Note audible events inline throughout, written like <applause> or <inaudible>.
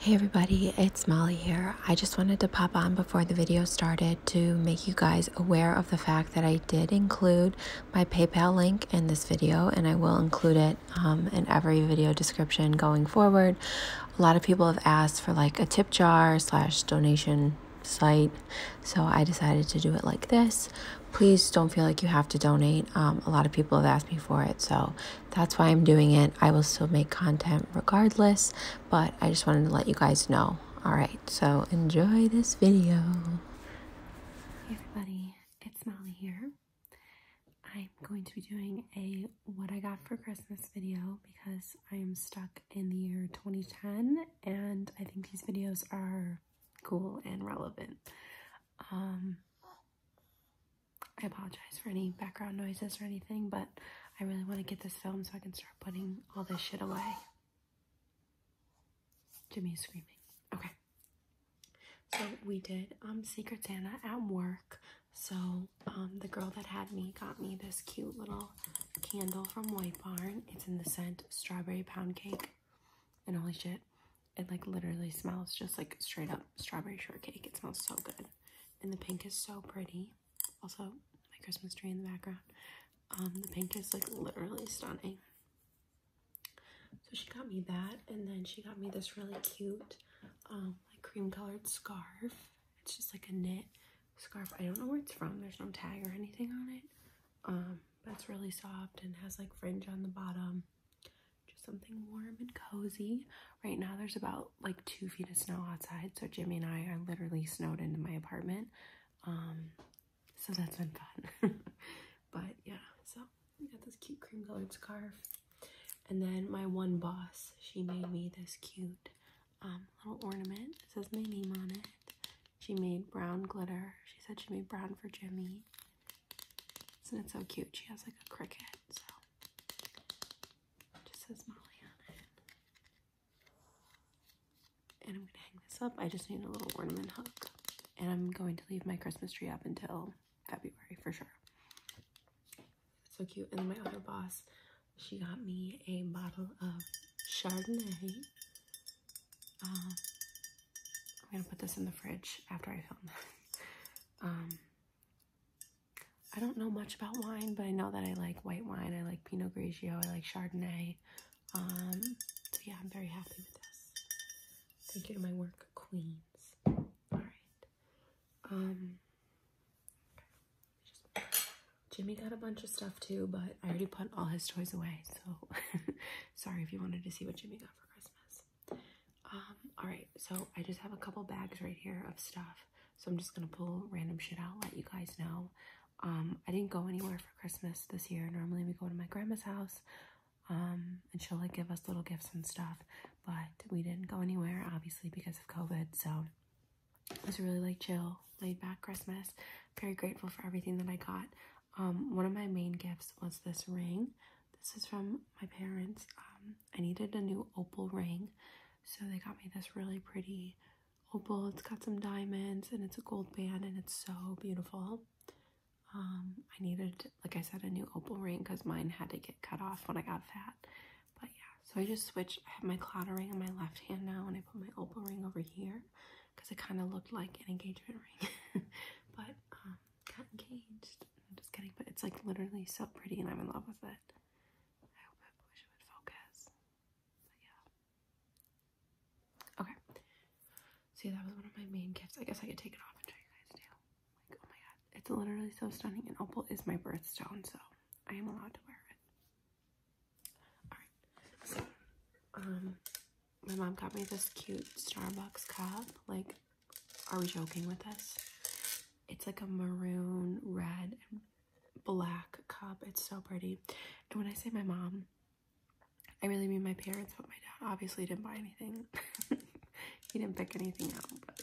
Hey everybody, it's Molly here. I just wanted to pop on before the video started to make you guys aware of the fact that I did include my PayPal link in this video and I will include it um, in every video description going forward. A lot of people have asked for like a tip jar slash donation site so I decided to do it like this. Please don't feel like you have to donate. Um, a lot of people have asked me for it so that's why I'm doing it. I will still make content regardless, but I just wanted to let you guys know. All right, so enjoy this video. Hey everybody, it's Molly here. I'm going to be doing a what I got for Christmas video because I am stuck in the year 2010 and I think these videos are cool and relevant. Um, I apologize for any background noises or anything, but I really want to get this film so I can start putting all this shit away. Jimmy is screaming. Okay. So we did um Secret Santa at work. So um the girl that had me got me this cute little candle from White Barn. It's in the scent strawberry pound cake. And holy shit, it like literally smells just like straight up strawberry shortcake. It smells so good. And the pink is so pretty. Also, my Christmas tree in the background. Um, the pink is like literally stunning. So she got me that, and then she got me this really cute, um, like cream colored scarf. It's just like a knit scarf. I don't know where it's from. There's no tag or anything on it. Um, but it's really soft and has like fringe on the bottom just something warm and cozy. Right now, there's about like two feet of snow outside, so Jimmy and I are literally snowed into my apartment. Um, so that's been fun. <laughs> but yeah, so we got this cute cream colored scarf. And then my one boss, she made me this cute um, little ornament. It says my name on it. She made brown glitter. She said she made brown for Jimmy. Isn't it so cute? She has like a cricket, so just says Molly on it. And I'm gonna hang this up. I just need a little ornament hook. And I'm going to leave my Christmas tree up until February for sure. so cute. And my other boss, she got me a bottle of Chardonnay. Um, I'm gonna put this in the fridge after I film <laughs> I don't know much about wine, but I know that I like white wine. I like Pinot Grigio. I like Chardonnay. Um, so yeah, I'm very happy with this. Thank you to my work queens. All right. Um, Jimmy got a bunch of stuff too, but I already put all his toys away. So <laughs> sorry if you wanted to see what Jimmy got for Christmas. Um, alright, so I just have a couple bags right here of stuff. So I'm just gonna pull random shit out, let you guys know. Um, I didn't go anywhere for Christmas this year. Normally we go to my grandma's house, um, and she'll like give us little gifts and stuff, but we didn't go anywhere obviously because of COVID, so it was really like chill, laid back Christmas. Very grateful for everything that I got. one of my main gifts was this ring. This is from my parents. I needed a new opal ring, so they got me this really pretty opal. It's got some diamonds and it's a gold band and it's so beautiful. Um, I needed, like I said, a new opal ring because mine had to get cut off when I got fat. But yeah, so I just switched. I have my clotter ring in my left hand now and I put my opal ring over here because it kind of looked like an engagement ring. <laughs> but um, engaged. I'm just kidding, but it's like literally so pretty and I'm in love with it. I hope I would focus. But yeah. Okay. See, that was one of my main gifts. I guess I could take it off and show you guys now. Like, oh my god. It's literally so stunning. And opal is my birthstone, so I am allowed to wear it. Alright. So, um, my mom got me this cute Starbucks cup. Like, are we joking with this? It's like a maroon, red, and black cup. It's so pretty. And when I say my mom, I really mean my parents, but my dad obviously didn't buy anything. <laughs> he didn't pick anything out, but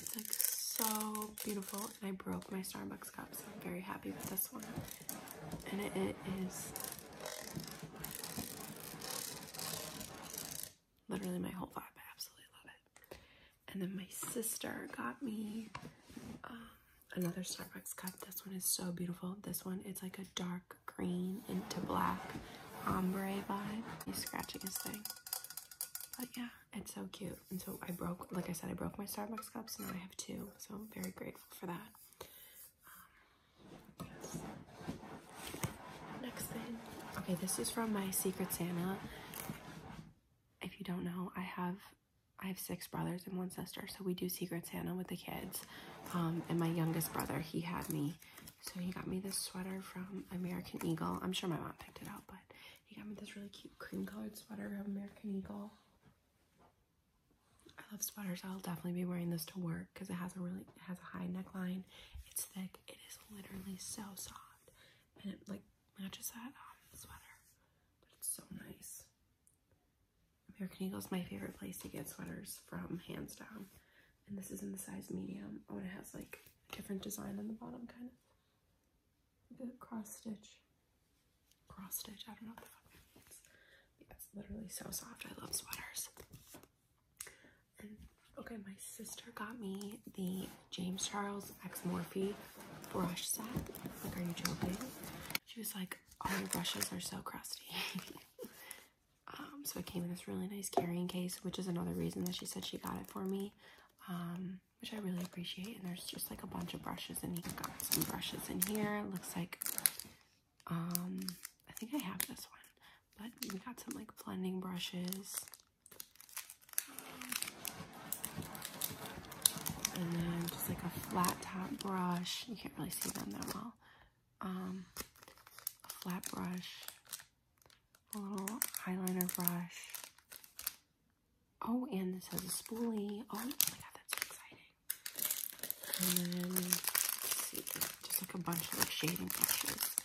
it's like so beautiful. And I broke my Starbucks cup, so I'm very happy with this one. And it is Literally my whole vibe. I absolutely love it. And then my sister got me um, another Starbucks cup. This one is so beautiful. This one, it's like a dark green into black ombre vibe. He's scratching his thing. But yeah, it's so cute. And so I broke, like I said, I broke my Starbucks cups. Now I have two. So I'm very grateful for that. Um, next thing. Okay, this is from my Secret Santa. If you don't know, I have I have six brothers and one sister, so we do Secret Santa with the kids. Um, and my youngest brother, he had me. So he got me this sweater from American Eagle. I'm sure my mom picked it out, but he got me this really cute cream colored sweater from American Eagle. I love sweaters. I'll definitely be wearing this to work because it has a really it has a high neckline. It's thick. It is literally so soft, and it like matches that um, sweater. But it's so nice. American Eagle is my favorite place to get sweaters from, hands down. And this is in the size medium. Oh, and it has like a different design on the bottom, kind of like a cross stitch. Cross stitch. I don't know what the fuck that means. It's literally so soft. I love sweaters okay, my sister got me the James Charles X Morphe brush set. Like, are you joking? She was like, all oh, your brushes are so crusty. <laughs> um, so it came in this really nice carrying case, which is another reason that she said she got it for me. Um, which I really appreciate. And there's just like a bunch of brushes, and he got some brushes in here. It looks like um, I think I have this one, but we got some like blending brushes. And then just like a flat top brush. You can't really see them that well. Um, a flat brush, a little eyeliner brush. Oh, and this has a spoolie. Oh my god, that's so exciting. And then, see, just like a bunch of like shading brushes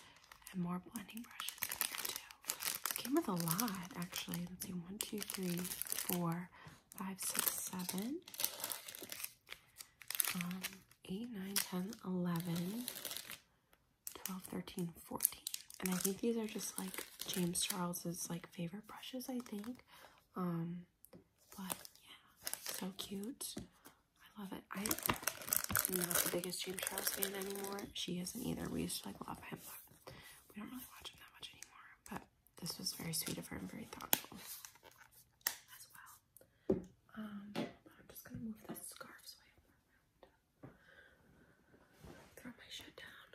and more blending brushes here too. came with a lot actually. Let's see, one, two, three, four, five, six, seven, um, eight, nine, ten, eleven, twelve, thirteen, fourteen. And I think these are just like James Charles's like favorite brushes, I think. Um, but yeah, so cute. I love it. I'm not the biggest James Charles fan anymore. She isn't either. We used to like love him, but we don't really watch him that much anymore. But this was very sweet of her and very thoughtful as well. Um, I'm just gonna move this scarf so throw my shit down.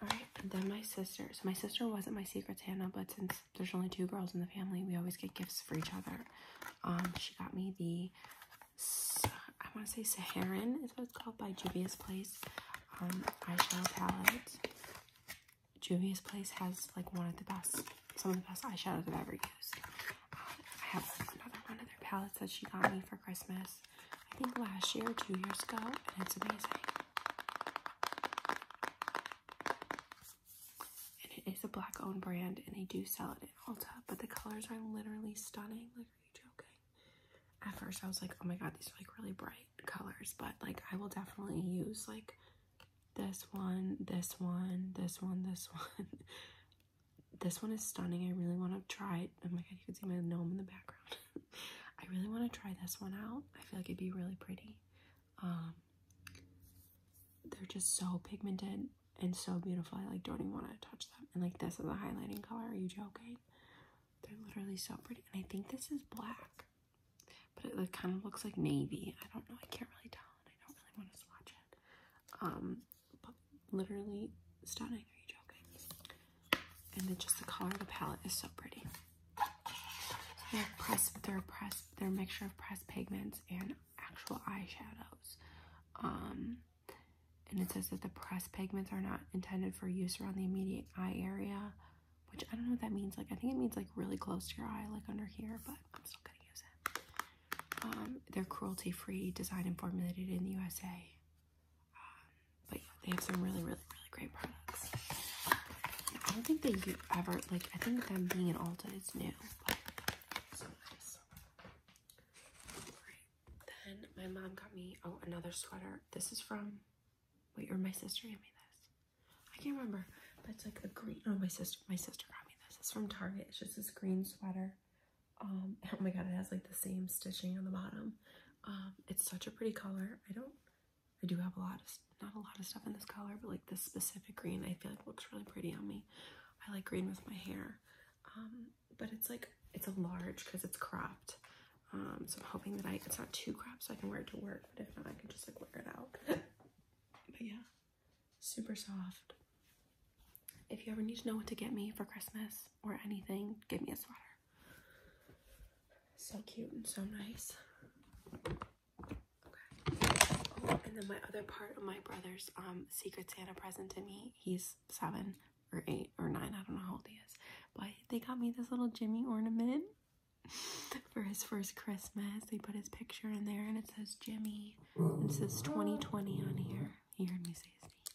Okay. Alright, then my sister. So my sister wasn't my secret Santa, but since there's only two girls in the family, we always get gifts for each other. Um, she got me the I want to say Saharan is what it's called by Juvia's Place um, eyeshadow palette. Juvia's Place has like one of the best, some of the best eyeshadows I've ever used. Um, I have another one of their palettes that she got me for Christmas. I think last year, two years ago, and it's amazing. And it is a black owned brand and they do sell it in Ulta, but the colors are literally stunning. Like, are you joking? At first I was like, oh my god, these are like really bright colors, but like I will definitely use like this one, this one, this one, this <laughs> one. this one is stunning. I really want to try it. Oh my god, you can see my gnome in the background. <laughs> I really want to try this one out. I feel like it'd be really pretty. Um, they're just so pigmented and so beautiful. I like don't even want to touch them. And like this is a highlighting color. Are you joking? They're literally so pretty. And I think this is black, but it kind of looks like navy. I don't know. I can't really tell. I don't really want to swatch it. Um, but literally stunning. Are you joking? And then just the color of the palette is so pretty. They're press, they're press, they're a mixture of pressed pigments and actual eyeshadows. Um, and it says that the pressed pigments are not intended for use around the immediate eye area, which I don't know what that means. Like, I think it means like really close to your eye, like under here, but I'm still gonna use it. Um, they're cruelty free, designed and formulated in the USA. Um, but they have some really, really really, great products. I don't think that you ever, like, I think them being an Ulta is new, then my mom got me, oh, another sweater. This is from, wait, or my sister gave me this. I can't remember, but it's like a green, oh, my sister, my sister got me this. It's from Target. It's just this green sweater. Um, <laughs> oh my god, it has like the same stitching on the bottom. Um, it's such a pretty color. I don't I do have a lot of not a lot of stuff in this color, but like this specific green, I feel like looks really pretty on me. I like green with my hair, um, but it's like it's a large because it's cropped. Um, so I'm hoping that I it's not too cropped, so I can wear it to work. But if not, I can just like wear it out. <laughs> but yeah, super soft. If you ever need to know what to get me for Christmas or anything, give me a sweater. So cute and so nice. Oh, and then my other part of my brother's um Secret Santa present to me, he's seven or eight or nine, I don't know how old he is, but they got me this little Jimmy ornament <laughs> for his first Christmas. They put his picture in there and it says Jimmy. And it says 2020 on here. He heard me say his name.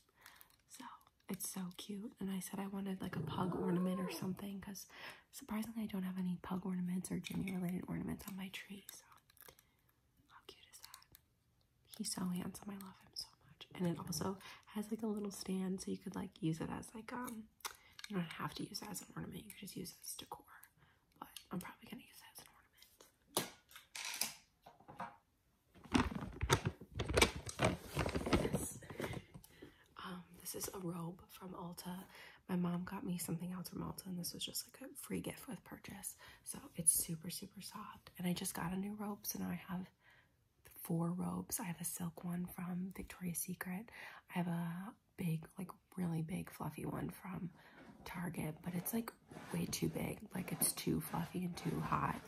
So it's so cute. And I said I wanted like a pug ornament or something because Surprisingly, I don't have any pug ornaments or Jimmy related ornaments on my tree, so how cute is that? He's so handsome, I love him so much. And it also has like a little stand so you could like use it as like um you don't have to use it as an ornament, you could just use it as decor. But I'm probably gonna use it as an ornament. Um, this is a robe from Ulta. My mom got me something else from Ulta, and this was just like a free gift with purchase. So it's super, super soft. And I just got a new robe, so now I have four robes. I have a silk one from Victoria's Secret. I have a big, like really big, fluffy one from Target, but it's like way too big. Like it's too fluffy and too hot.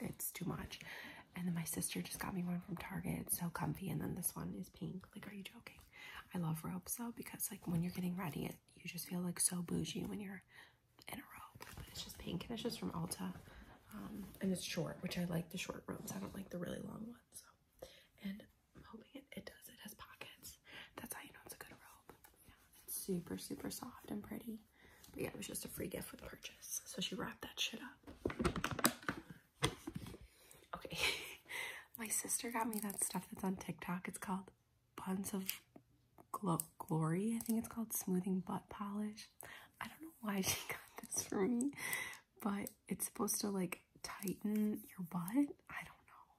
it's too much. And then my sister just got me one from Target. It's so comfy. And then this one is pink. Like, are you joking? I love robes though because, like, when you're getting ready, you just feel like so bougie when you're in a robe. it's just pink and it's just from Alta, um, and it's short, which I like the short robes. I don't like the really long ones. So. And I'm hoping it, does. It has pockets. That's how you know it's a good robe. Yeah, it's super, super soft and pretty. But yeah, it was just a free gift with purchase. So she wrapped that shit up. Okay. <laughs> My sister got me that stuff that's on TikTok. It's called Buns of Glory. I think it's called Smoothing Butt Polish. I don't know why she <laughs> got this for me, but it's supposed to like tighten your butt. I don't know.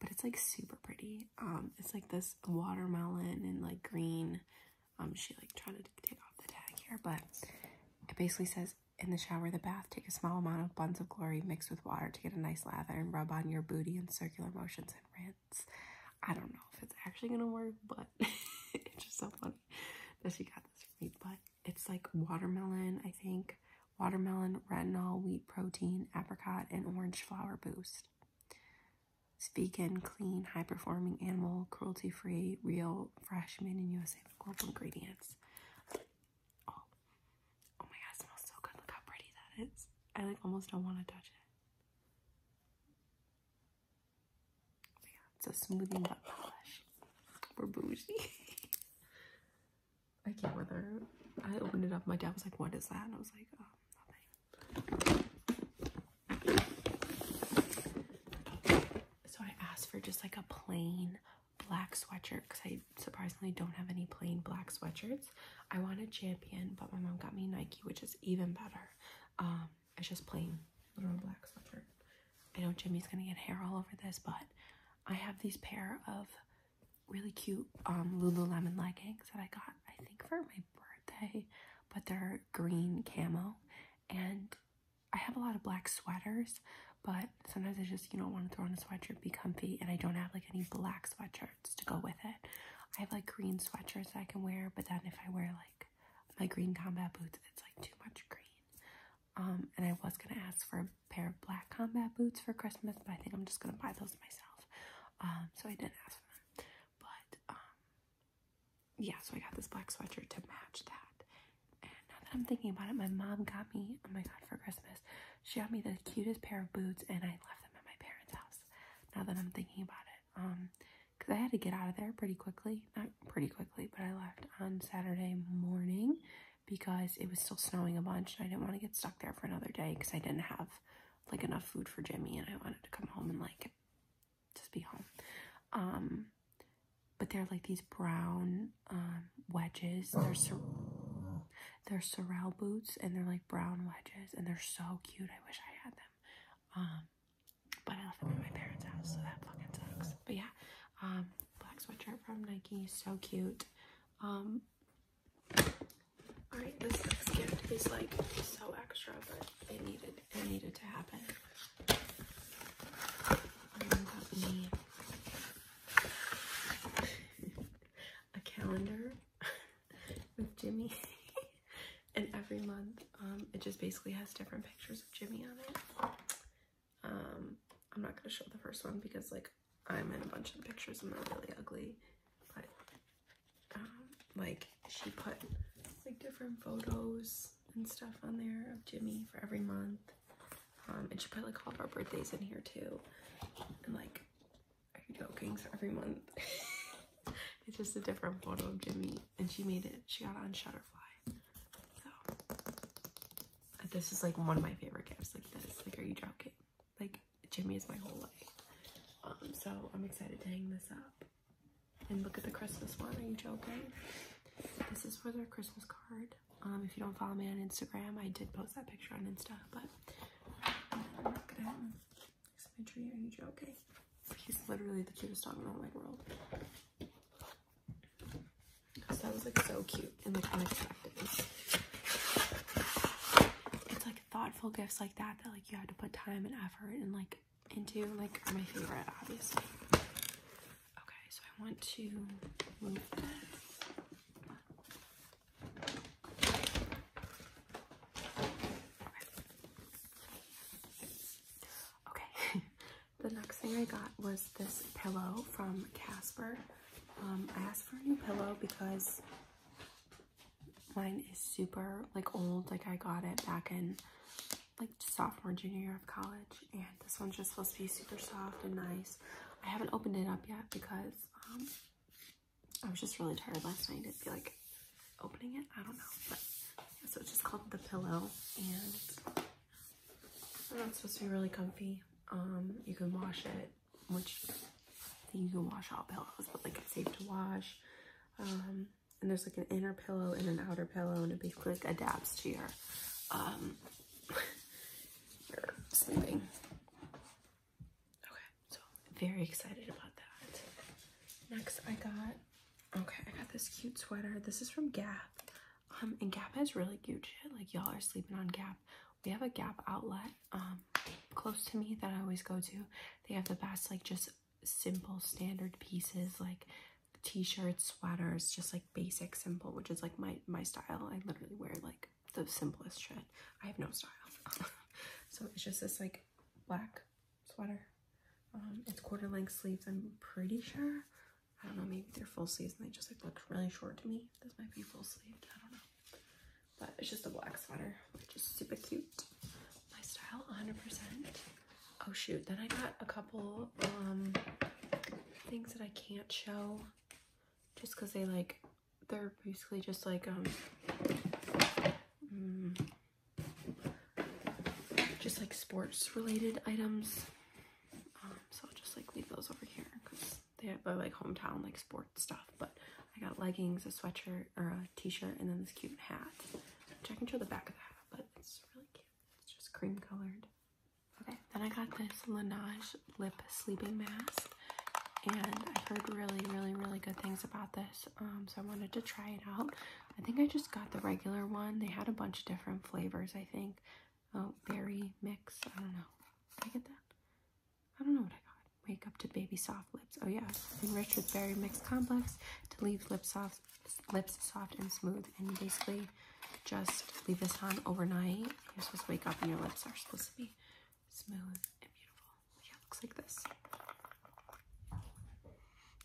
But it's like super pretty. Um, It's like this watermelon and like green. Um, She like tried to take off the tag here, but it basically says in the shower, the bath, take a small amount of buns of glory mixed with water to get a nice lather and rub on your booty in circular motions and rinse. I don't know if it's actually gonna work, but <laughs> it's just so funny that she got this for me. But it's like watermelon, I think, watermelon, retinol, wheat protein, apricot, and orange flower boost. It's vegan, clean, high performing animal, cruelty free, real, fresh, made in USA All global ingredients. Oh, oh. my god, smells so good. Look how pretty that is. I like almost don't want to touch it. Oh it's a smoothie nut polish. We're bougie. <laughs> I can't whether I opened it up. My dad was like, what is that? And I was like, oh, nothing. So I asked for just like a plain black sweatshirt because I surprisingly don't have any plain black sweatshirts. I wanted Champion, but my mom got me Nike, which is even better. Um, it's just plain little black sweatshirt. I know Jimmy's gonna get hair all over this, but I have these pair of really cute um, Lululemon leggings that I got, I think for my birthday, but they're green camo and I have a lot of black sweaters, but sometimes I just, you know, want to throw on a sweatshirt, be comfy, and I don't have like any black sweatshirts to go with it. I have like green sweatshirts that I can wear, but then if I wear like my green combat boots, it's like too much green. Um, and I was gonna ask for a pair of black combat boots for Christmas, but I think I'm just gonna buy those myself. Um, so I didn't ask for them, but um, yeah, so I got this black sweater to match that. And now that I'm thinking about it, my mom got me, oh my god, for Christmas, she got me the cutest pair of boots and I left them at my parents' house. Now that I'm thinking about it, um, because I had to get out of there pretty quickly. Not pretty quickly, but I left on Saturday morning because it was still snowing a bunch and I didn't want to get stuck there for another day because I didn't have like enough food for Jimmy and I wanted to come home and like just be home. Um, but they're like these brown um, wedges. They're they're sorrel boots, and they're like brown wedges, and they're so cute. I wish I had them. Um, but I left them at my parents' house, so that fucking sucks. But yeah, um, black sweatshirt from Nike, so cute. Um, all right, this next gift is like so extra, but it needed that needed to happen. Um, got me a calendar <laughs> with Jimmy, <laughs> and every month um, it just basically has different pictures of Jimmy on it. Um, I'm not gonna show the first one because like I'm in a bunch of pictures and they're really ugly, but um, like she put like different photos and stuff on there of Jimmy for every month. Um, and she put like all of our birthdays in here too. And like, are you joking? For every month, <laughs> it's just a different photo of Jimmy. And she made it, she got it on Shutterfly. So, this is like one of my favorite gifts. Like this, like, are you joking? Like, Jimmy is my whole life. Um, so I'm excited to hang this up. And look at the Christmas one. Are you joking? This is for their Christmas card. Um, if you don't follow me on Instagram, I did post that picture on Insta, but look at my tree. Are you joking? He's literally the cutest dog in the whole world. that was like so cute and like unexpected. It's like thoughtful gifts like that that like you had to put time and effort and like into like my favorite, obviously. Okay, so I want to move this. Okay, <laughs> the next thing I got was this pillow from Casper. Um, I asked for a new pillow because mine is super like old like I got it back in like sophomore, junior year of college. And this one's just supposed to be super soft and nice. I haven't opened it up yet because um, I was just really tired last night. I be like opening it. I don't know. so it's just called The Pillow. And it's supposed to be really comfy. Um, you can wash it, which you can wash all pillows, but like it's safe to wash. Um, and there's like an inner pillow and an outer pillow and it basically adapts to your um sleeping <laughs> okay so very excited about that next i got okay i got this cute sweater this is from gap um and gap has really cute shit like y'all are sleeping on gap we have a gap outlet um close to me that i always go to they have the best like just simple standard pieces like t-shirts, sweaters, just like basic simple, which is like my my style. I literally wear like the simplest shit. I have no style. <laughs> so it's just this like black sweater. Um, it's quarter length sleeves, I'm pretty sure. I don't know, maybe they're full sleeves and they just like look really short to me. This might be full sleeved, I don't know. But it's just a black sweater, which is super cute. My style, 100%. Oh shoot, then I got a couple um things that I can't show just because they like they're basically just like um mm, just like sports related items. Um, so I'll just like leave those over here because they are like hometown like sports stuff. But I got leggings, a sweatshirt or a t-shirt, and then this cute hat. Which I can show the back of the hat, but it's really cute. It's just cream colored. Okay, then I got this Laneige lip sleeping mask, and i heard really, really, really good things about this. Um, so I wanted to try it out. I think I just got the regular one. They had a bunch of different flavors, I think. Oh, berry mix. I don't know. I get that? I don't know what I got. Wake up to baby soft lips. Oh yeah, enriched with berry mix complex to leave lips soft lips soft and smooth and you basically just leave this on overnight you're supposed to wake up and your lips are supposed to be smooth and beautiful yeah looks like this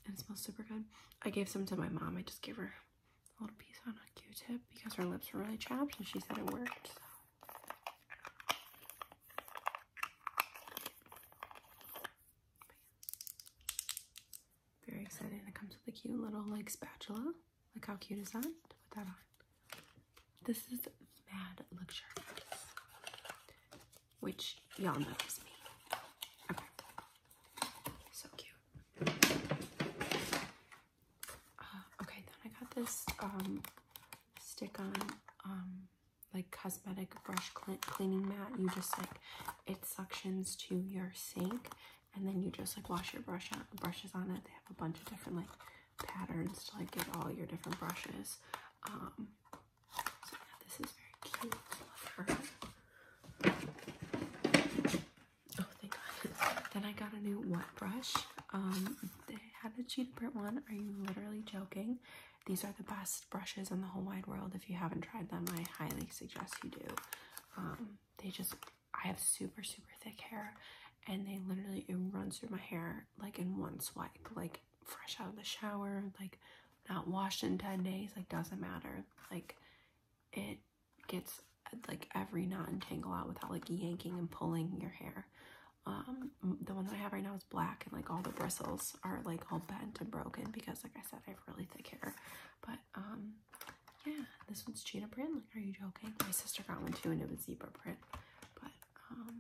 and it smells super good i gave some to my mom i just gave her a little piece on a q-tip because her lips were really chapped and she said it worked very exciting! And it comes with a cute little like spatula. Like how cute is that? To put that on. This is mad luxurious. Which y'all know is me. So cute. Uh, okay, then I got this um stick on um like cosmetic brush cleaning mat. You just like it suctions to your sink and then you just like wash your brush on, brushes on it. They have a bunch of different like patterns to like get all your different brushes. Um, so yeah, this is very cute. love her. Oh, thank God. Then I got a new wet brush. Um, they had a cheetah print one. Are you literally joking? These are the best brushes in the whole wide world. If you haven't tried them, I highly suggest you do. Um, they just, I have super, super thick hair and they literally, it runs through my hair like in one swipe, like fresh out of the shower, like not washed in 10 days, like doesn't matter. Like it gets like every knot and tangle out without like yanking and pulling your hair. Um, the one that I have right now is black and like all the bristles are like all bent and broken because like I said, I have really thick hair, but um, yeah, this one's cheetah print. Like, are you joking? My sister got one too, and it was zebra print. But um,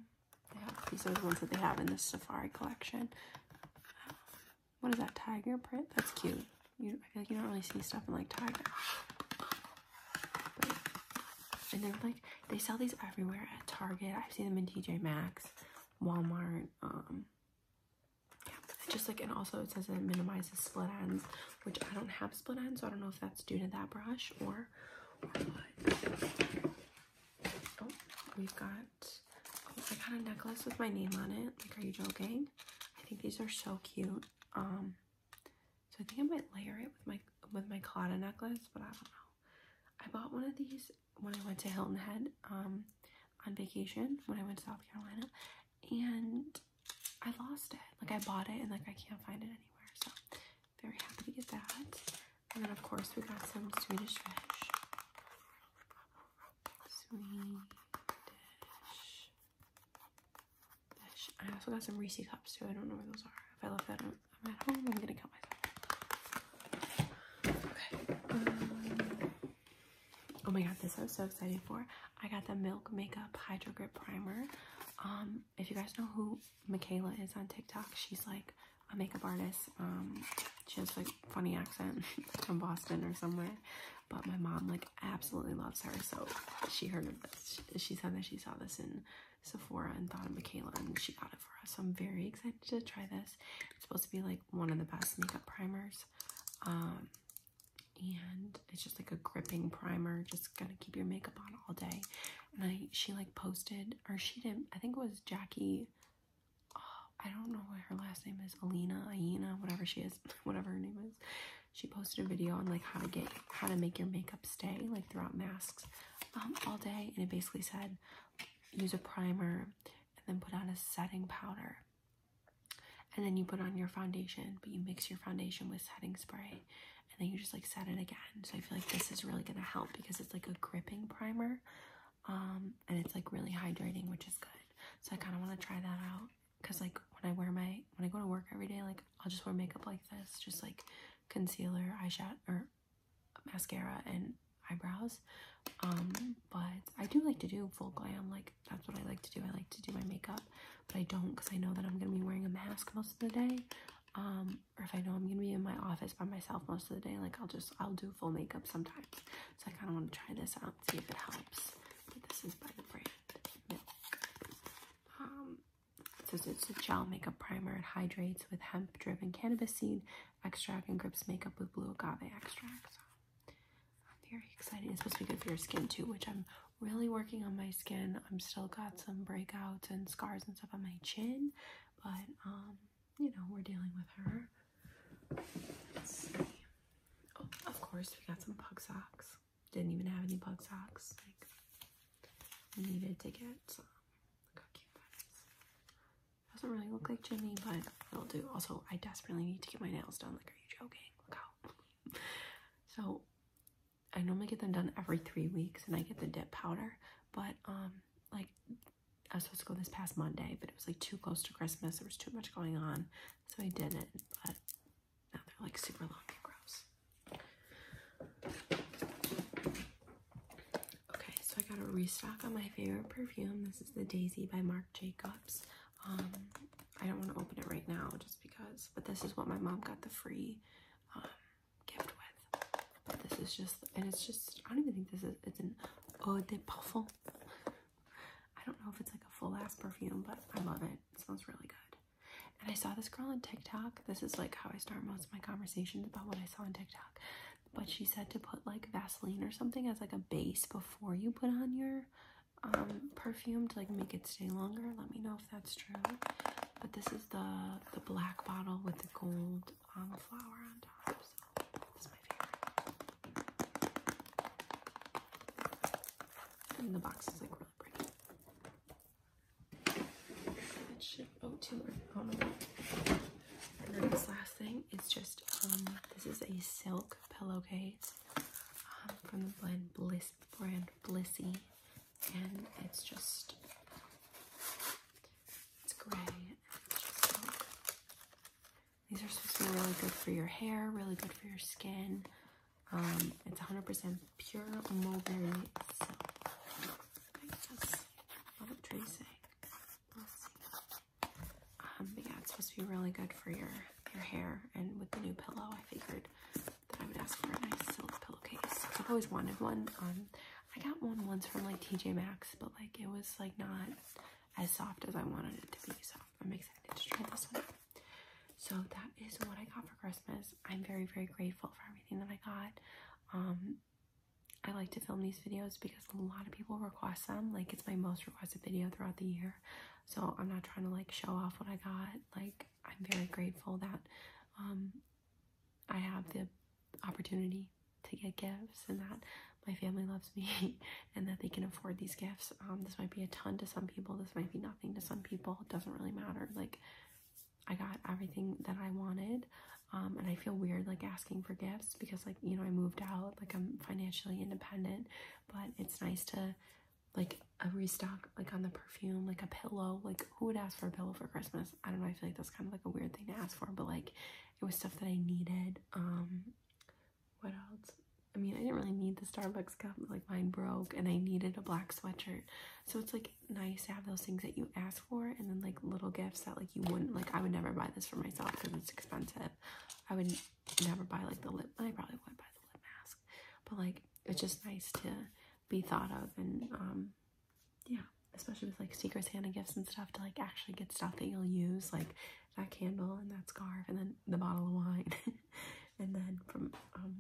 these are the ones that they have in the Safari collection. what is that tiger print? That's cute. You, don't really see stuff in like tiger. and they're like they sell these everywhere at Target. I've seen them in TJ Maxx, Walmart. Um, just like, and also it says it minimizes split ends, which I don't have split ends, so I don't know if that's due to that brush or, oh, we've got, oh, I got a necklace with my name on it. Like, are you joking? I think these are so cute. Um, so I think I might layer it with my, with my Claudia necklace, but I don't know. I bought one of these when I went to Hilton Head um, on vacation when I went to South Carolina, and I lost it. Like I bought it and like I can't find it anywhere. So very happy to get that. And then of course we got some Swedish fish. Swedish fish. I also got some Reese cups too. I don't know where those are. If I left that at home, I'm gonna kill myself. Okay. Um, Oh my god, this I was so excited for. I got the Milk Makeup Hydro Grip Primer. Um, if you guys know who Michaela is on TikTok, she's like a makeup artist. Um, she has like funny accent <laughs> from Boston or somewhere. But my mom like absolutely loves her, so she heard of this. She said that she saw this in Sephora and thought of Michaela and she got it for us. So I'm very excited to try this. It's supposed to be like one of the best makeup primers. Um, and it's just like a gripping primer, just gonna keep your makeup on all day. And I, she like posted, or she did, not I think it was Jackie, oh, I don't know what her last name is, Alina, Aina, whatever she is, <laughs> whatever her name is. She posted a video on like how to get, how to make your makeup stay like throughout masks um, all day. And it basically said, use a primer and then put on a setting powder and then you put on your foundation but you mix your foundation with setting spray and then you just like set it again so i feel like this is really gonna help because it's like a gripping primer um and it's like really hydrating which is good so i kind of want to try that out because like when i wear my when i go to work every day like i'll just wear makeup like this just like concealer eyeshadow or mascara and eyebrows um but i do like to do full glam like that's what i like to do i like to do my makeup but i don't because i know that i'm gonna be wearing a mask most of the day um or if i know i'm gonna be in my office by myself most of the day like i'll just i'll do full makeup sometimes so i kind of want to try this out see if it helps but this is by the brand milk um so it's a gel makeup primer it hydrates with hemp driven cannabis seed extract and grips makeup with blue agave extract I'm very excited. It's supposed to be good for your skin too, which I'm really working on my skin. I'm still got some breakouts and scars and stuff on my chin, but um, you know, we're dealing with her. Oh, of course, we got some pug socks. Didn't even have any pug socks. Like, needed to get some. Look how cute that is. Doesn't really look like Jimmy, but it'll do. Also, I desperately need to get my nails done. Like, are you joking? Look out. <laughs> so I normally get them done every three weeks and I get the dip powder, but um like I was supposed to go this past Monday, but it was like too close to Christmas. There was too much going on, so I didn't. But now they're like super long and gross. Okay, so I got a restock on my favorite perfume. This is the Daisy by Marc Jacobs. Um, I don't want to open it right now just because, but this is what my mom got the free um, gift with. this is just, and it's just, I don't even think this is, it's an eau de parfum. I don't know if it's like a full ass perfume, but I love it. It smells really good. And I saw this girl on TikTok. This is like how I start most of my conversations about what I saw on TikTok but she said to put like Vaseline or something as like a base before you put on your um, perfume to like make it stay longer. Let me know if that's true. But this is the the black bottle with the gold um, flower on top. So this is my favorite. And the box is like really pretty. And then this last thing is just, um, this is a silk pillowcase um, from the blend Bliss, brand Blissy. And it's just, it's gray and it's just silk. These are supposed to be really good for your hair, really good for your skin. Um, it's 100% pure mulberry silk. what I'm tracing. Um, but yeah, it's supposed to be really good for your your hair. And with the new pillow, I figured that I would ask for a nice silk pillowcase. I've always wanted one. Um, I got one once from like TJ Maxx, but like it was like not as soft as I wanted it to be. Soft. I'm excited to try this one. So that is what I got for Christmas. I'm very very grateful for everything that I got. Um, I like to film these videos because a lot of people request them. Like it's my most requested video throughout the year. So I'm not trying to like show off what I got. Like I'm very grateful that um, I have the opportunity to get gifts and that my family loves me <laughs> and that they can afford these gifts. Um, this might be a ton to some people. This might be nothing to some people. It doesn't really matter. Like I got everything that I wanted. Um, and I feel weird like asking for gifts because like you know I moved out like I'm financially independent but it's nice to like a restock like on the perfume like a pillow like who would ask for a pillow for Christmas I don't know I feel like that's kind of like a weird thing to ask for but like it was stuff that I needed um what else I mean I didn't really need the Starbucks cup like mine broke and I needed a black sweatshirt so it's like nice to have those things that you ask for and then like little gifts that like you wouldn't like I would never buy this for myself because it's expensive I would never buy like the lip, I probably would buy the lip mask, but like it's just nice to be thought of and um, yeah, especially with like Secret Santa gifts and stuff to like actually get stuff that you'll use, like that candle and that scarf and then the bottle of wine, <laughs> and then from um,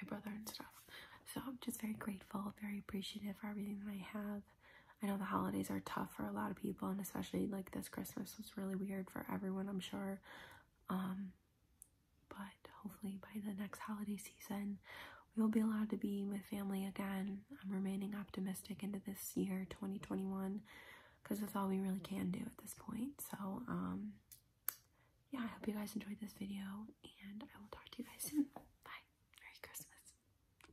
my brother and stuff. So I'm just very grateful, very appreciative for everything that I have. I know the holidays are tough for a lot of people, and especially like this Christmas was really weird for everyone, I'm sure. Um, but hopefully, by the next holiday season, we will be allowed to be with family again. I'm remaining optimistic into this year 2021 because that's all we really can do at this point. So, um, yeah, I hope you guys enjoyed this video, and I will talk to you guys soon. Bye. Merry Christmas.